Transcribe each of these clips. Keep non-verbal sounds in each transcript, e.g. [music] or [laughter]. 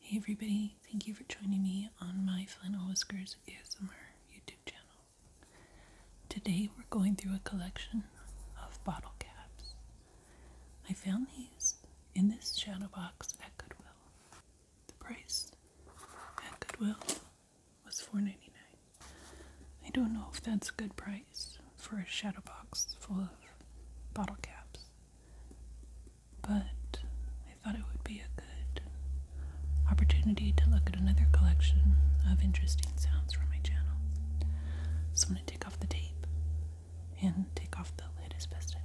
Hey everybody, thank you for joining me on my Flannel Whiskers ASMR YouTube channel. Today we're going through a collection of bottle caps. I found these in this shadow box at Goodwill. The price at Goodwill was $4.99. I don't know if that's a good price for a shadow box full of bottle caps but I thought it would be a good opportunity to look at another collection of interesting sounds from my channel. So I'm going to take off the tape and take off the lid as best I can.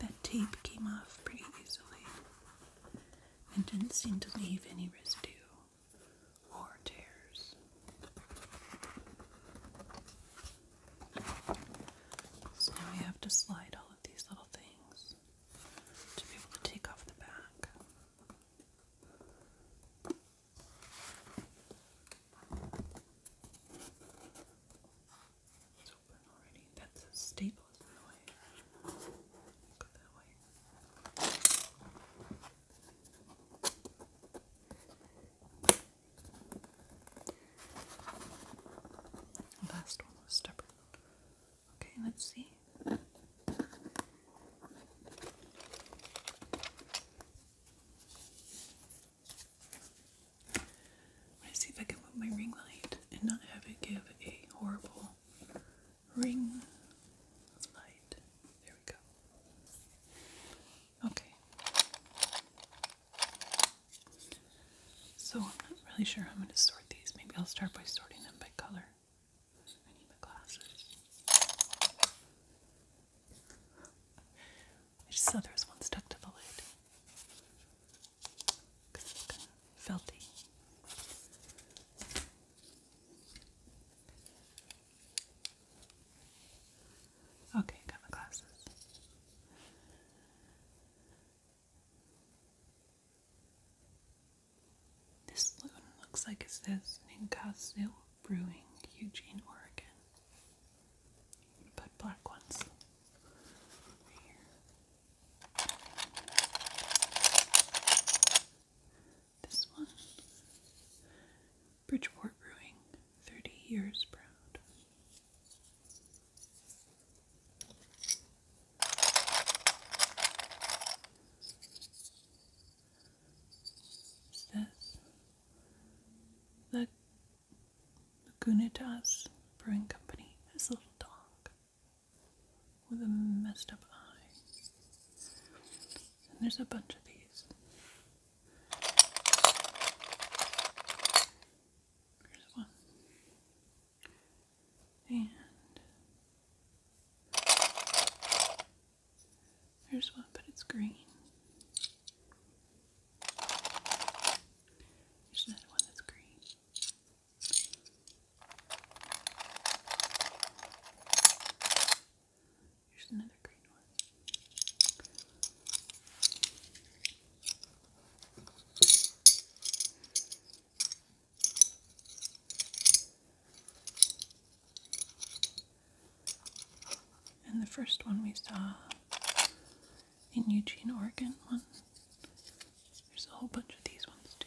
That tape came off pretty easily and didn't seem to leave any residue or tears. So now we have to slide all of these little things to be able to take off the back. It's open already. That's a staple, is in Go that way. last one was stubborn. Okay, let's see. I'm see if I can move my ring light and not have it give a horrible ring light. There we go. Okay. So I'm not really sure how I'm gonna sort these. Maybe I'll start by sorting them by color. I need my glasses. I just saw there was one stuck to the lid. Because it's kind of felty. Okay, got my glasses. This loan looks like it says Ninkasu Brewing, Eugene, Oregon. i black ones This one, Bridgeport Brewing, 30 years proud. Is this the Gunitas Brewing Company? This little dog with a messed up eye. And there's a bunch of these. Here's one. And there's one, but it's green. There's another one that's green. Here's another green one. And the first one we saw in Eugene, Oregon, There's a whole bunch of these ones too.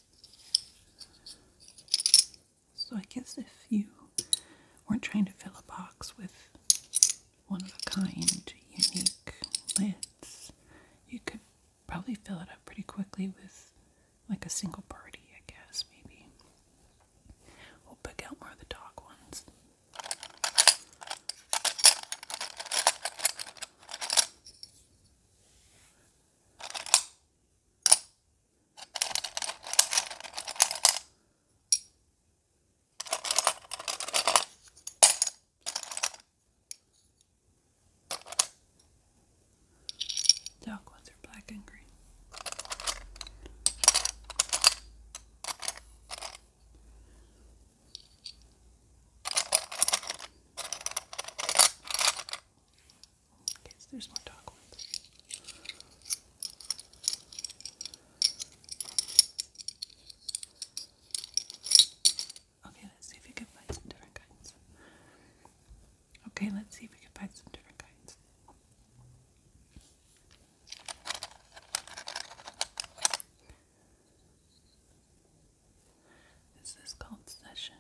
So I guess if you weren't trying to fill a box with one of a kind, unique lids, you could probably fill it up pretty quickly with like a single party, I guess, maybe. We'll pick out more of the dog ones. Dark ones are black and green. Okay, so there's more dog ones. Okay, let's see if we can find some different kinds. Okay, let's see if we can find some different kinds. This is called Session,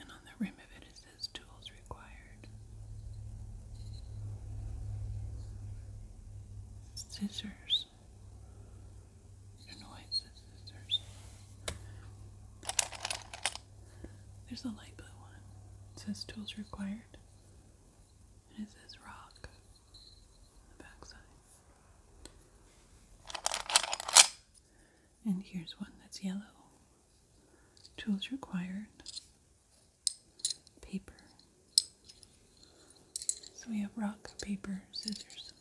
and on the rim of it it says Tools Required. Scissors. The noise of scissors. There's a light blue one. It says Tools Required, and it says Rock on the backside. And here's one that's yellow. Tools required. Paper. So we have rock, paper, scissors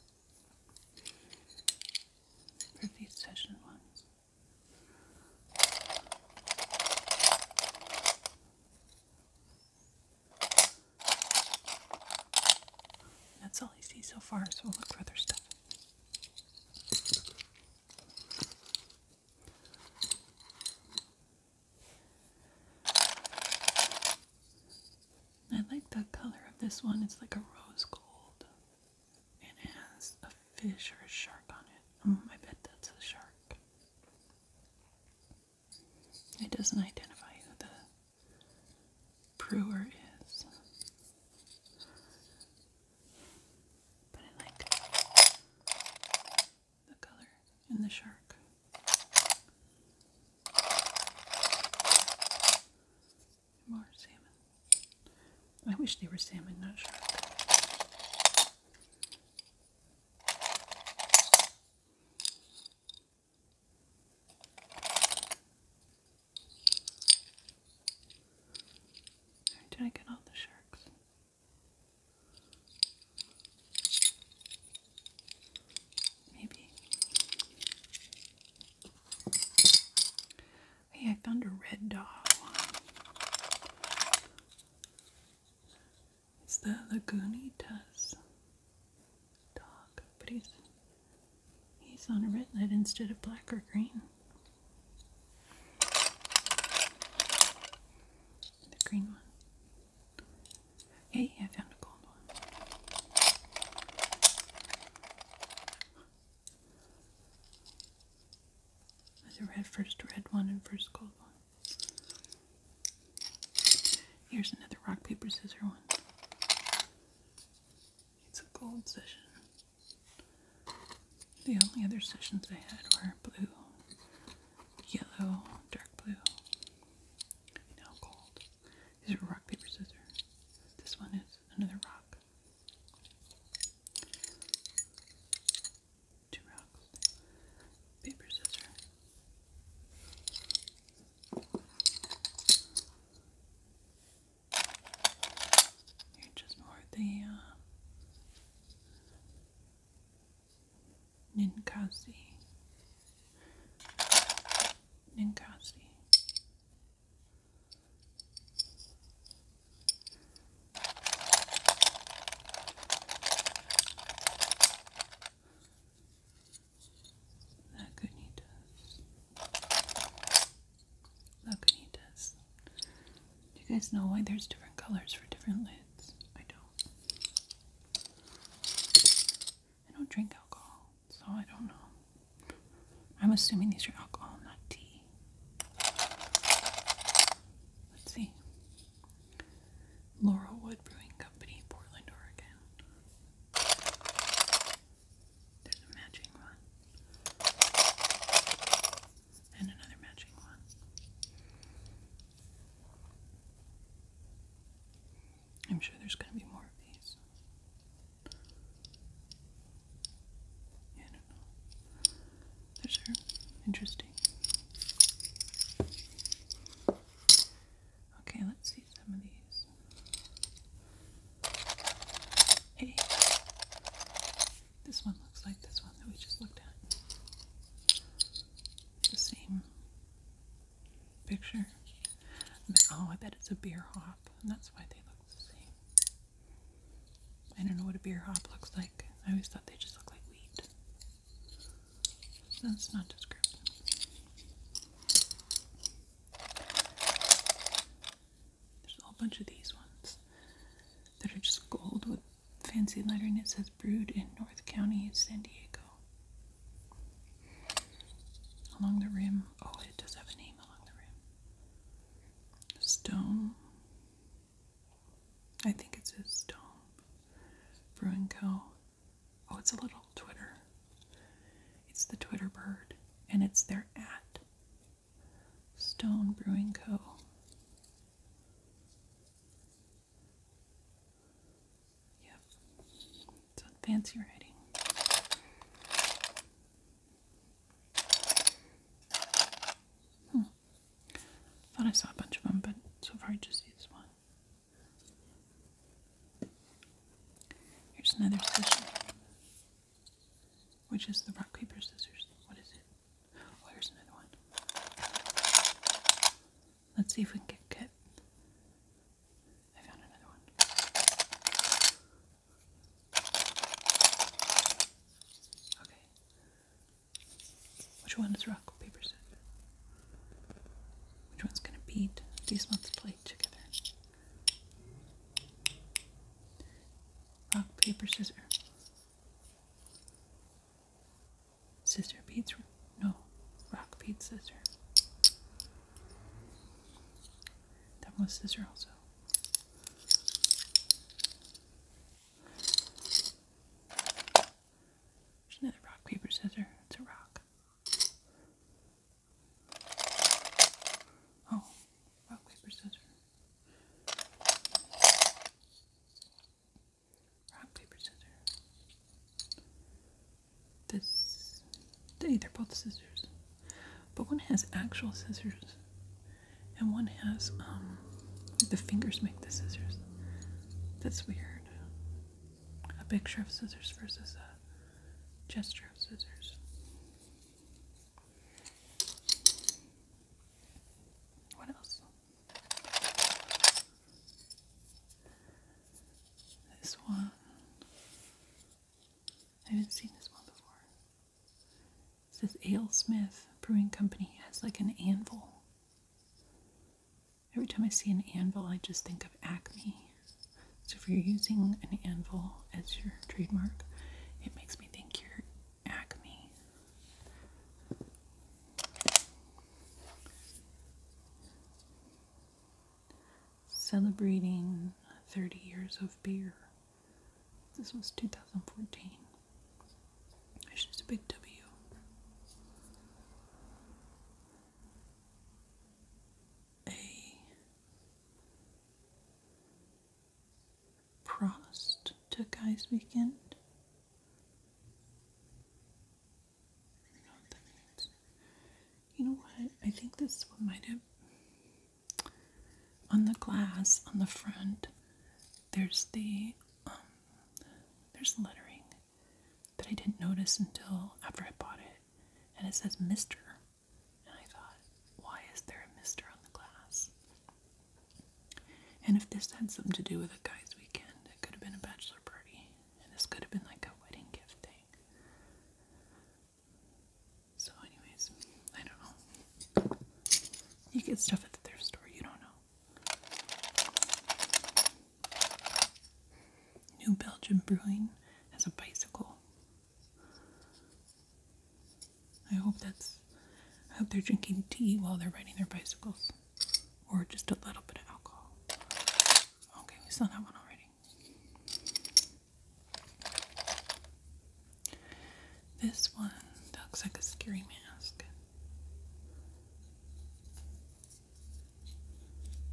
for these session ones. That's all I see so far, so we'll look for other stuff. I like the color of this one. It's like a rose gold. it has a fish or a shark on it. Mm, I bet that's a shark. It doesn't identify who the brewer is. But I like the color and the shark. More salmon. I wish they were salmon, not shark. Where did I get all the sharks? Maybe. Hey, I found a red dog. It's the Lagunitas dog, but he's he's on a red lid instead of black or green. The green one. Hey, I found a gold one. There's a red first red one and first gold one. Here's another rock, paper, scissors one. It's a gold session. The only other sessions I had were blue, yellow, dark blue. Now gold. These are rock, paper, scissors. This one is another rock. Two rocks. Paper, scissors. Here, just more the Ninkasi. Ninkasi. La Cunitas. Do you guys know why there's different colors for different lids? I don't. I don't drink alcohol, so I don't know. I'm assuming these are alcohol, not tea. Let's see. Laurelwood Brewing Company, Portland, Oregon. There's a matching one. And another matching one. I'm sure there's going to be more of these. I don't know. Those are interesting. Okay, let's see some of these. Hey, this one looks like this one that we just looked at. The same picture. Oh, I bet it's a beer hop, and that's why they look the same. I don't know what a beer hop looks like. I always thought they just look like wheat. that's not descriptive. There's a whole bunch of these ones that are just gold with fancy lettering. It says brewed in North County, San Diego. Along the rim, oh, it does have a name along the rim. Stone. I think it says Stone Brewing Co. Oh, it's a little Twitter. It's the Twitter bird, and it's their at Stone Brewing Co. Yep, it's fancy writing. Hmm. Thought I saw a bunch of them, but so far I just see this one. Here's another special, which is the rock, paper, scissors. What is it? Oh, another one. Let's see if we can get cut. I found another one. Okay. Which one is rock, paper, scissors? Which one's gonna beat? These ones play together. Rock, paper, scissors. Scissor beats. No. Rock, beats, scissors. That was scissors also. There's another rock, paper, scissors. It's a rock. Oh, rock, paper, scissors. Rock, paper, scissors. This. They, they're both scissors. But one has actual scissors, and one has, um, the fingers make the scissors. That's weird a picture of scissors versus a gesture of scissors. What else? This one. I haven't seen this one before. This Ale Smith Brewing Company has like an anvil. Every time I see an anvil, I just think of Acme. So if you're using an anvil as your trademark, it makes me think you're Acme. Celebrating 30 years of beer. This was 2014. It's just a big W a Prost to Guy's Weekend. I know what that means. You know what? I think this one might have. On the glass on the front, there's the um, there's lettering that I didn't notice until after I bought it and it says Mr. And I thought, why is there a Mr. on the glass? And if this had something to do with a guy's weekend, it could have been a bachelor party, and this could have been like a wedding gift thing. So, anyways, I don't know. You get stuff at the thrift store, you don't know. New Belgium Brewing has a bicycle. I hope that's. I hope they're drinking tea while they're riding their bicycles, or just a little bit of alcohol. Okay, we saw that one already. This one looks like a scary mask.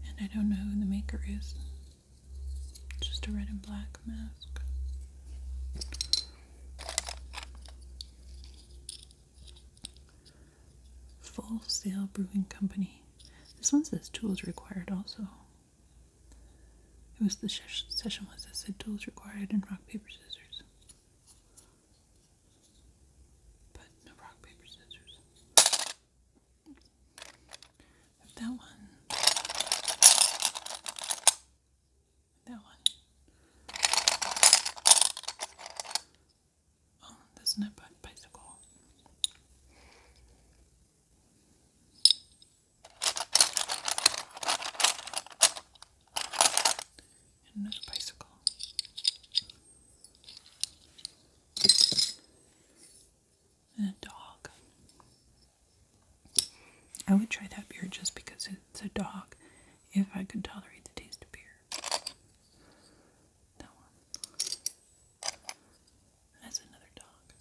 And I don't know who the maker is. just a red and black mask. Full Sail Brewing Company. This one says tools required also. It was the session was that said tools required and rock, paper, scissors. But no rock, paper, scissors that one, that one. Oh, that's not bicycle. another bicycle and a dog. I would try that beer just because it's a dog if I could tolerate the taste of beer. That one. That's another dog.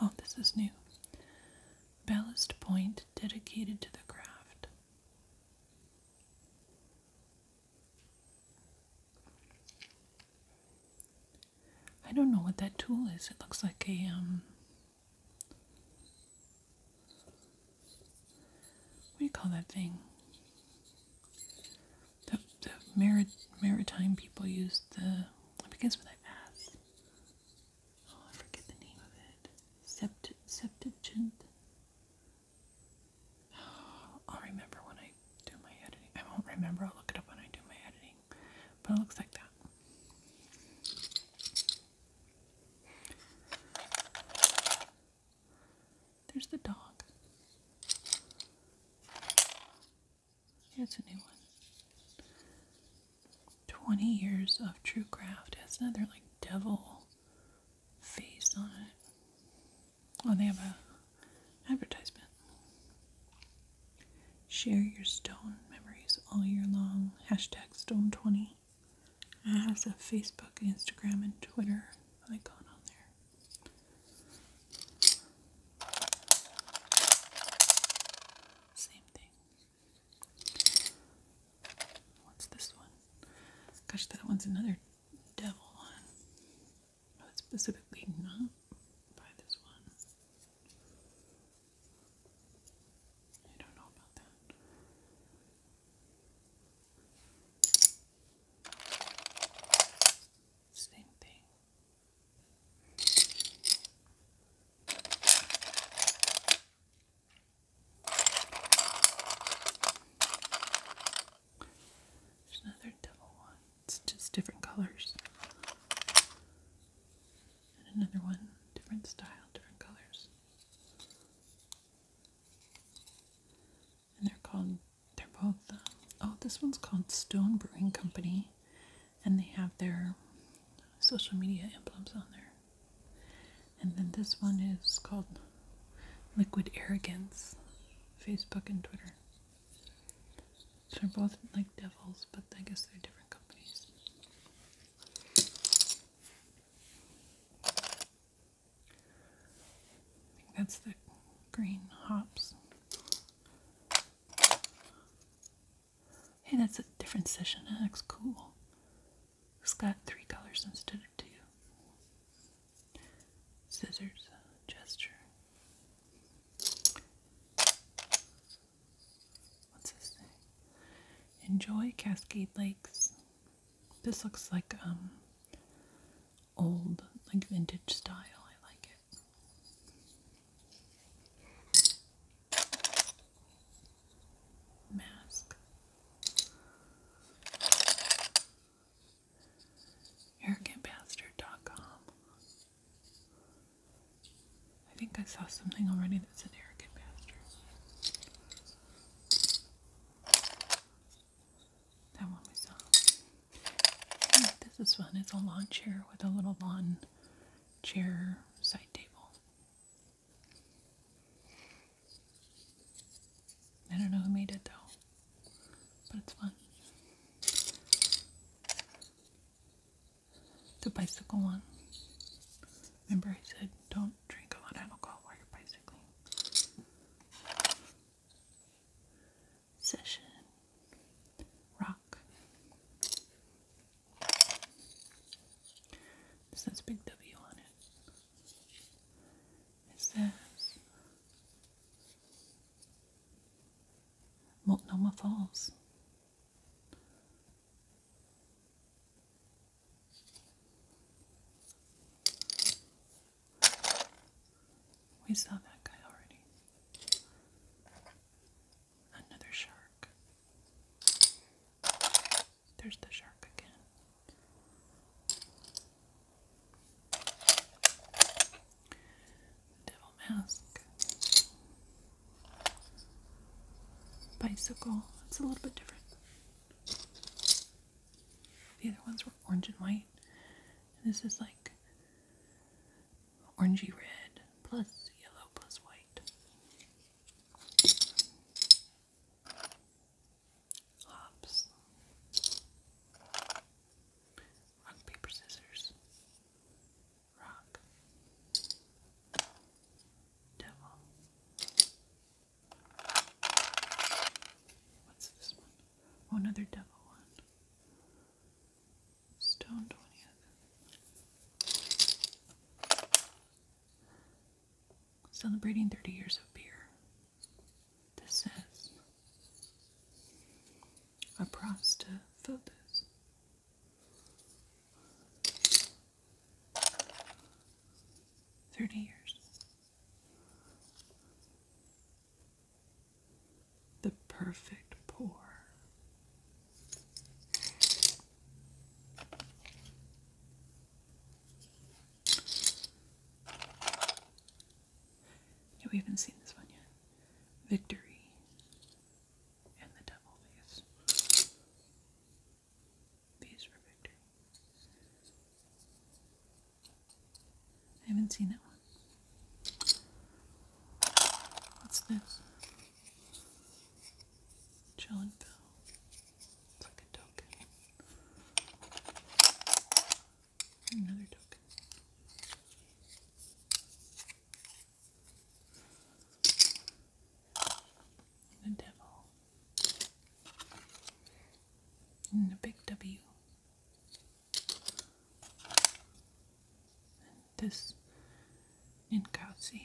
Oh, this is new. Ballast point dedicated to the craft. I don't know what that tool is. It looks like a um what do you call that thing? The the marit maritime people use the it begins with an Oh, I forget the name of it. Sept septuagint. I'll remember when I do my editing. I won't remember, I'll look it up when I do my editing. But it looks like that. There's the dog. Yeah, it's a new one. 20 years of true craft. It has another like devil face on it. Oh, they have a advertisement. Share your stone memories all year long. Hashtag stone twenty. It has a Facebook, Instagram, and Twitter icon on there. Same thing. What's this one? Gosh, that one's another devil one. I would specifically not buy this one. I don't know about that. Same thing. There's another devil It's just different colors. And another one, different style, different colors. And they're called, they're both, um, oh, this one's called Stone Brewing Company. And they have their social media emblems on there. And then this one is called Liquid Arrogance, Facebook and Twitter. So they're both like devils, but I guess they're different companies. that's the green hops. Hey, that's a different session. That looks cool. It's got three colors instead of two. Scissors, gesture. What's this Enjoy Cascade Lakes. This looks like um old, like vintage style. I like it. Mask aircampastor.com. I think I saw something already that's an Eric Pastor. That one we saw. Hmm, this is fun. It's a lawn chair with a little lawn chair side table. I don't know who made it though, but it's fun. The bicycle one. Remember, I said don't drink a lot of alcohol while you're bicycling. Session. Rock. This has Big W on it is this. Multnomah Falls. We saw that guy already. Another shark. There's the shark again. Devil Mask. Bicycle. It's a little bit different. The other ones were orange and white. this is like orangey red plus yellow plus white hops, rock, paper, scissors, rock, devil. What's this one? Oh, another devil one. Stone 20th. Celebrating 30 years of beer. This is a prostophobus. Thirty years. The perfect pour. Yeah, we haven't seen this one yet. Victory and the Devil Face. V's for Victory. I haven't seen that one. What's this? Chill and Another token. The devil. And a big W. this in Kauzi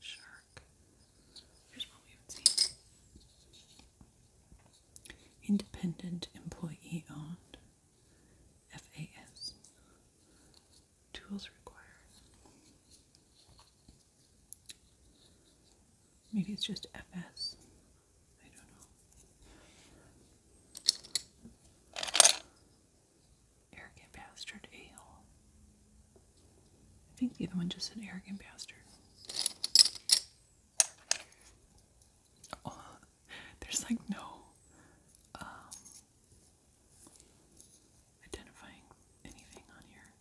shark. Here's what we would see. Independent employee owned. FAS. Tools required. Maybe it's just FS. don't know. Arrogant bastard, a I think the other one just said arrogant bastard. Oh, there's like no um, identifying anything on here.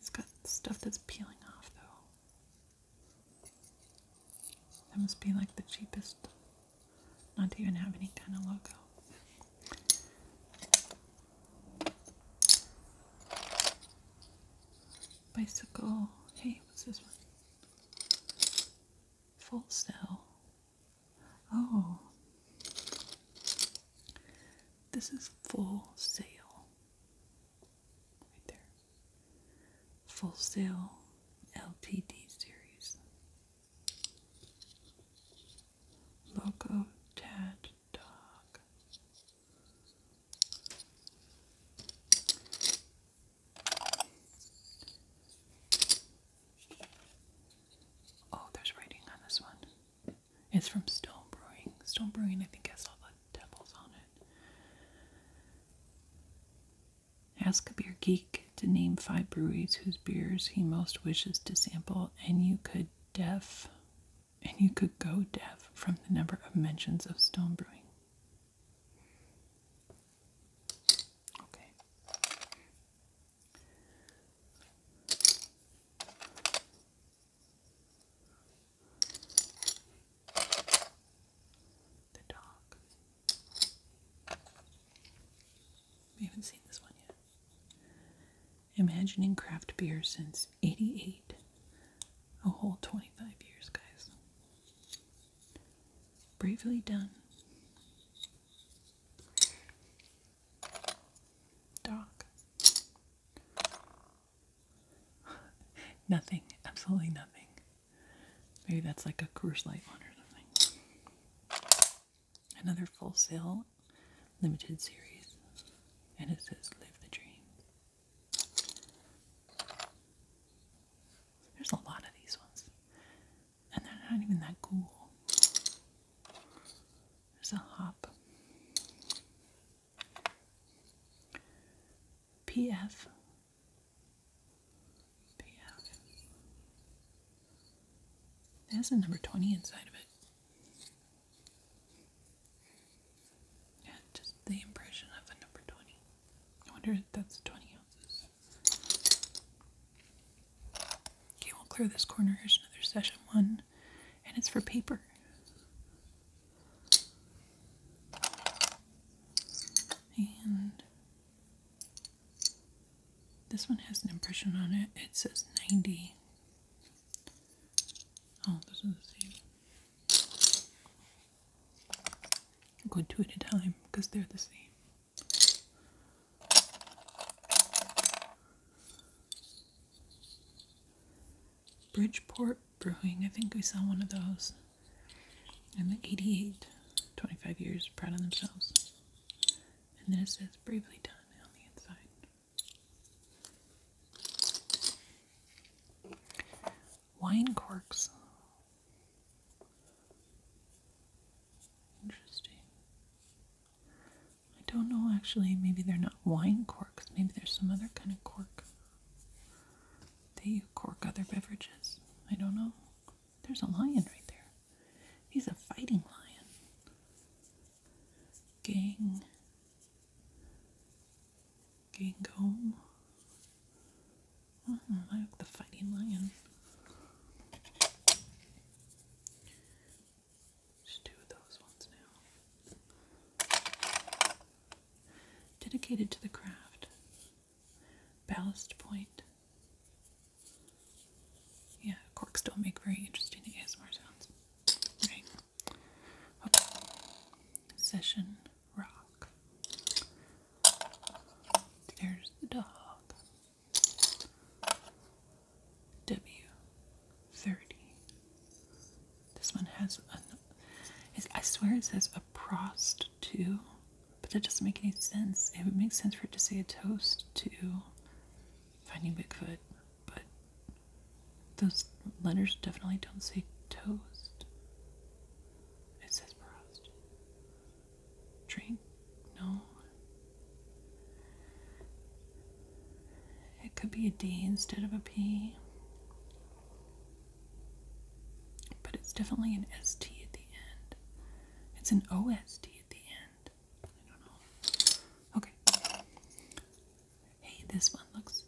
It's got stuff that's peeling off though. That must be like the cheapest. Not to even have any kind of logo. Bicycle. Hey, what's this one? Full cell. Oh. This is full sail. Right there. Full sail LTD series. Local Tad Dog. Oh, there's writing on this one. It's from Stone Brewing. Stone Brewing, I think, has all the devils on it. Ask a beer geek to name five breweries whose beers he most wishes to sample, and you could deaf and you could go deaf from the number of mentions of stone brewing. Okay. The dog. We haven't seen this one yet. Imagining craft beer since 88. A whole 25 years, guys. Bravely done. Dog. [laughs] nothing. Absolutely nothing. Maybe that's like a Coors Light one or something another full sale limited series, and it says Live the Dream. There's a lot of these ones, and they're not even that cool. There's a hop. PF. PF. There's a number 20 inside of it. Yeah, just the impression of a number 20. I wonder if that's 20 ounces. Okay, we'll clear this corner. Here's another session one, and it's for paper. And this one has an impression on it. It says 90. Oh, those are the same. i go two at a time because they're the same. Bridgeport Brewing. I think we saw one of those. And the 88, 25 years, proud of themselves and then it says bravely done on the inside. Wine corks. Interesting. I don't know actually, maybe they're not wine corks, maybe there's some other kind of cork. They cork other beverages. I don't know. There's a lion right there. He's a fighting lion. Gang. Gangome. Oh, I like the fighting lion. Just two of those ones now. Dedicated to the craft. Ballast Point. Yeah, corks don't make very interesting ASMR sounds. Right. Session rock. There's the dog. W30. This one has a. I swear it says a prost too, but that doesn't make any sense. It would make sense for it to say a toast to finding Bigfoot, but those letters definitely don't say toast. It says prost. Drink? No. It could be a D instead of a P. But it's definitely an ST at the end. It's an OST at the end. Okay. Hey, this one looks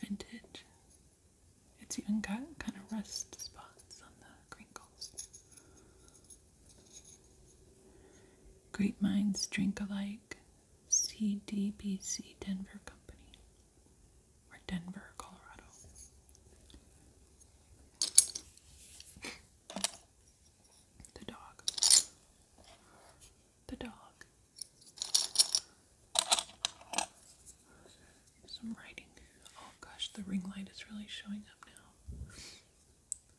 vintage. It's even got kind of rust spots on the crinkles. Great minds drink alike. CDBC Denver Company. Or Denver, Colorado. The dog. The dog. Some writing. Oh gosh, the ring light is really showing up now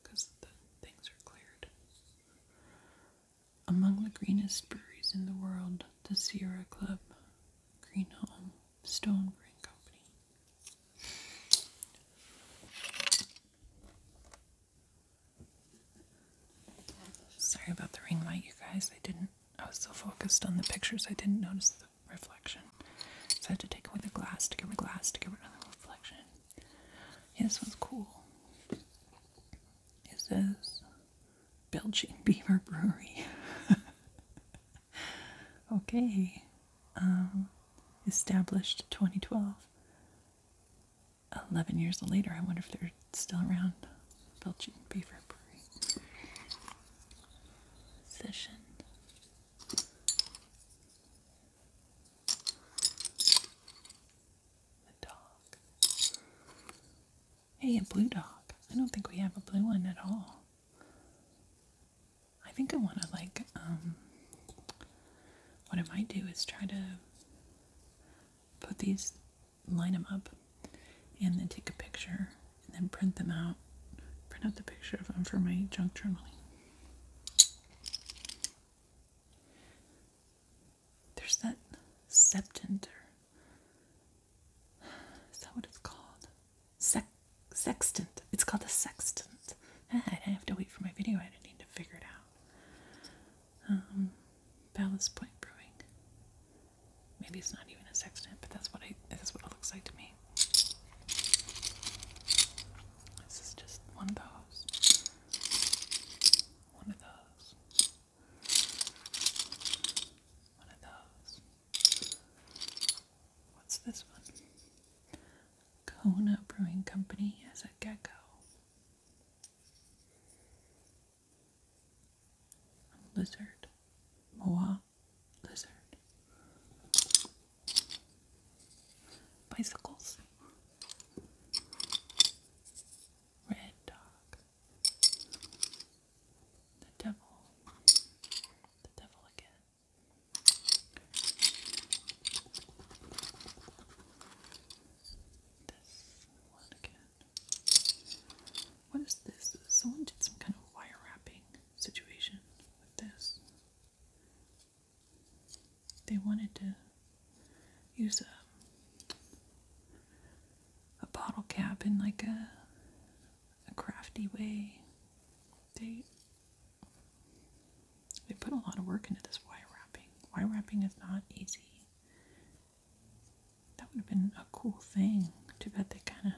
because the things are cleared. Among the greenest breweries in the world, the Sierra Club, Green Home, Stone Brewing Company, Sorry about the ring light, you guys. I didn't, I was so focused on the pictures, I didn't notice the reflection. So I had to take away the glass to give rid glass to give rid of the reflection. this one's cool. It says Belgian Beaver Brewery. [laughs] okay. Um, established 2012. 11 years later, I wonder if they're still around. Belgian Beaver Brewery. Session. The dog. Hey, a blue dog. I don't think we have a blue one at all. I think I want to like um what I might do is try to put these line them up and then take a picture and then print them out print out the picture of them for my junk journaling there's that septenter is that what it's called Sex sextant. It's called a sextant. Ah, I have to wait for my video I don't need to figure it out. Um, Balance Point Brewing. Maybe it's not even a sextant, but that's what I. That's what it looks like to me. This is just one of those. One of those. One of those. What's this one? Kona Brewing Company as a gecko. A lizard. Moa lizard. Bicycles. Red dog. The devil. The devil again. What is this? Someone did some kind of wire wrapping situation with this. They wanted to use a um, a bottle cap in like a a crafty way. They they put a lot of work into this wire wrapping. Wire wrapping is not easy. That would have been a cool thing. Too bad they kind of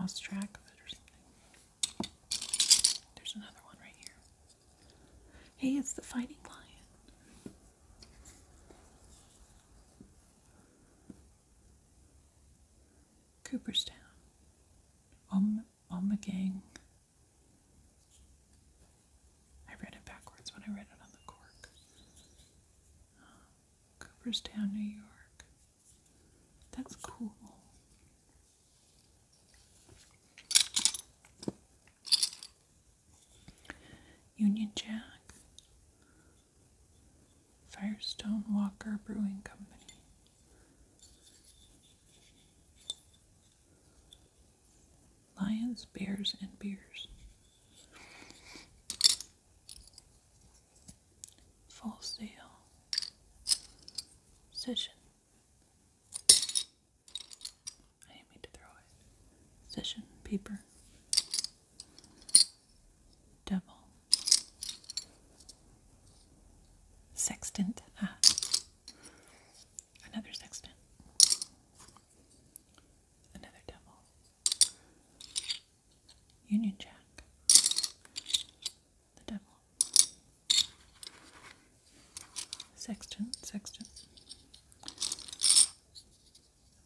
lost track of it or something. There's another one right here. Hey, it's the fighting lion. Cooperstown, Om I read it backwards when I read it on the cork. Um, Cooperstown, New York. That's cool. Union Jack, Firestone Walker Brewing Company. Lions, Bears, and Beers. Full Sail. Session. I didn't to throw it. Session paper double, sextant, ah, another sextant, another double, Union Jack, the devil. sextant, sextant,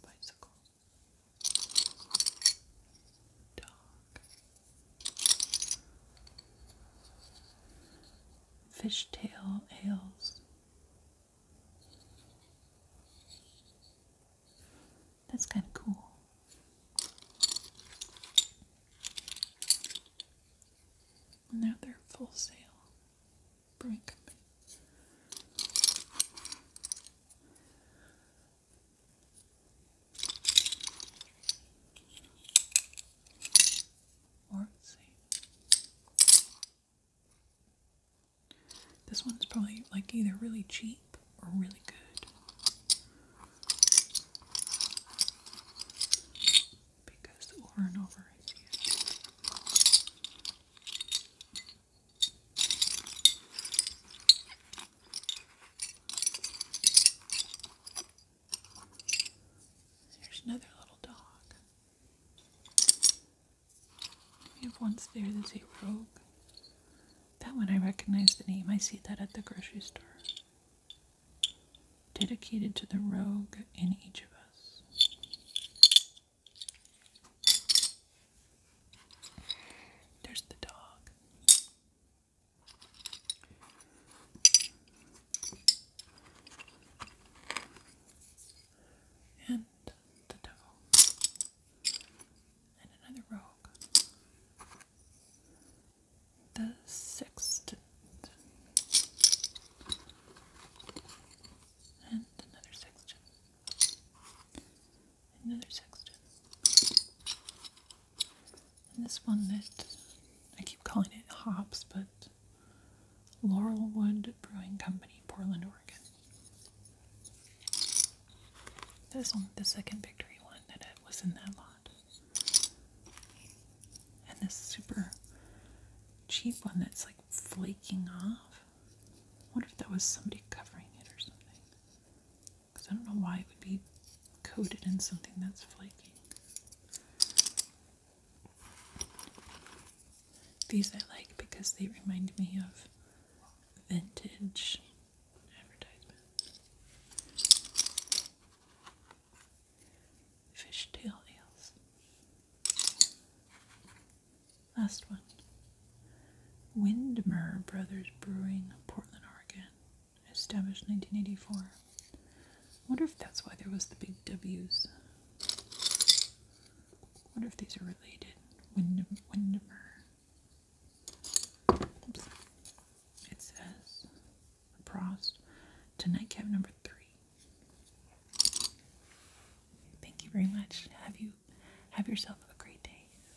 bicycle. Dog. Fishtail ales. That's kind of cool. And full sale. Brewing let's see. This one's probably like either really cheap or really good. Because over and over is there's another little dog. We have one there that's a rogue. That one I recognize the name. I see that at the grocery store. Dedicated to the rogue in each of us. There's the dog. And the devil. And another rogue. The sixth. And another sexton another sexton. And this one that I keep calling it hops, but Laurel Wood Brewing Company, Portland, Oregon. This one, the second victory one that it was in that lot. And this super cheap one that's like flaking off. wonder if that was somebody covering it or something. Because I don't know why it would be coated in something that's flaking. These I like because they remind me of vintage advertisements. Fishtail ales. Last one. Windmer Brothers Brewing, Portland, Oregon, established 1984. wonder if that's why there was the big W's. wonder if these are related. Wind Windmer. Oops. It says Prost Tonight, nightcap number three. Thank you very much. Have you have yourself a great day.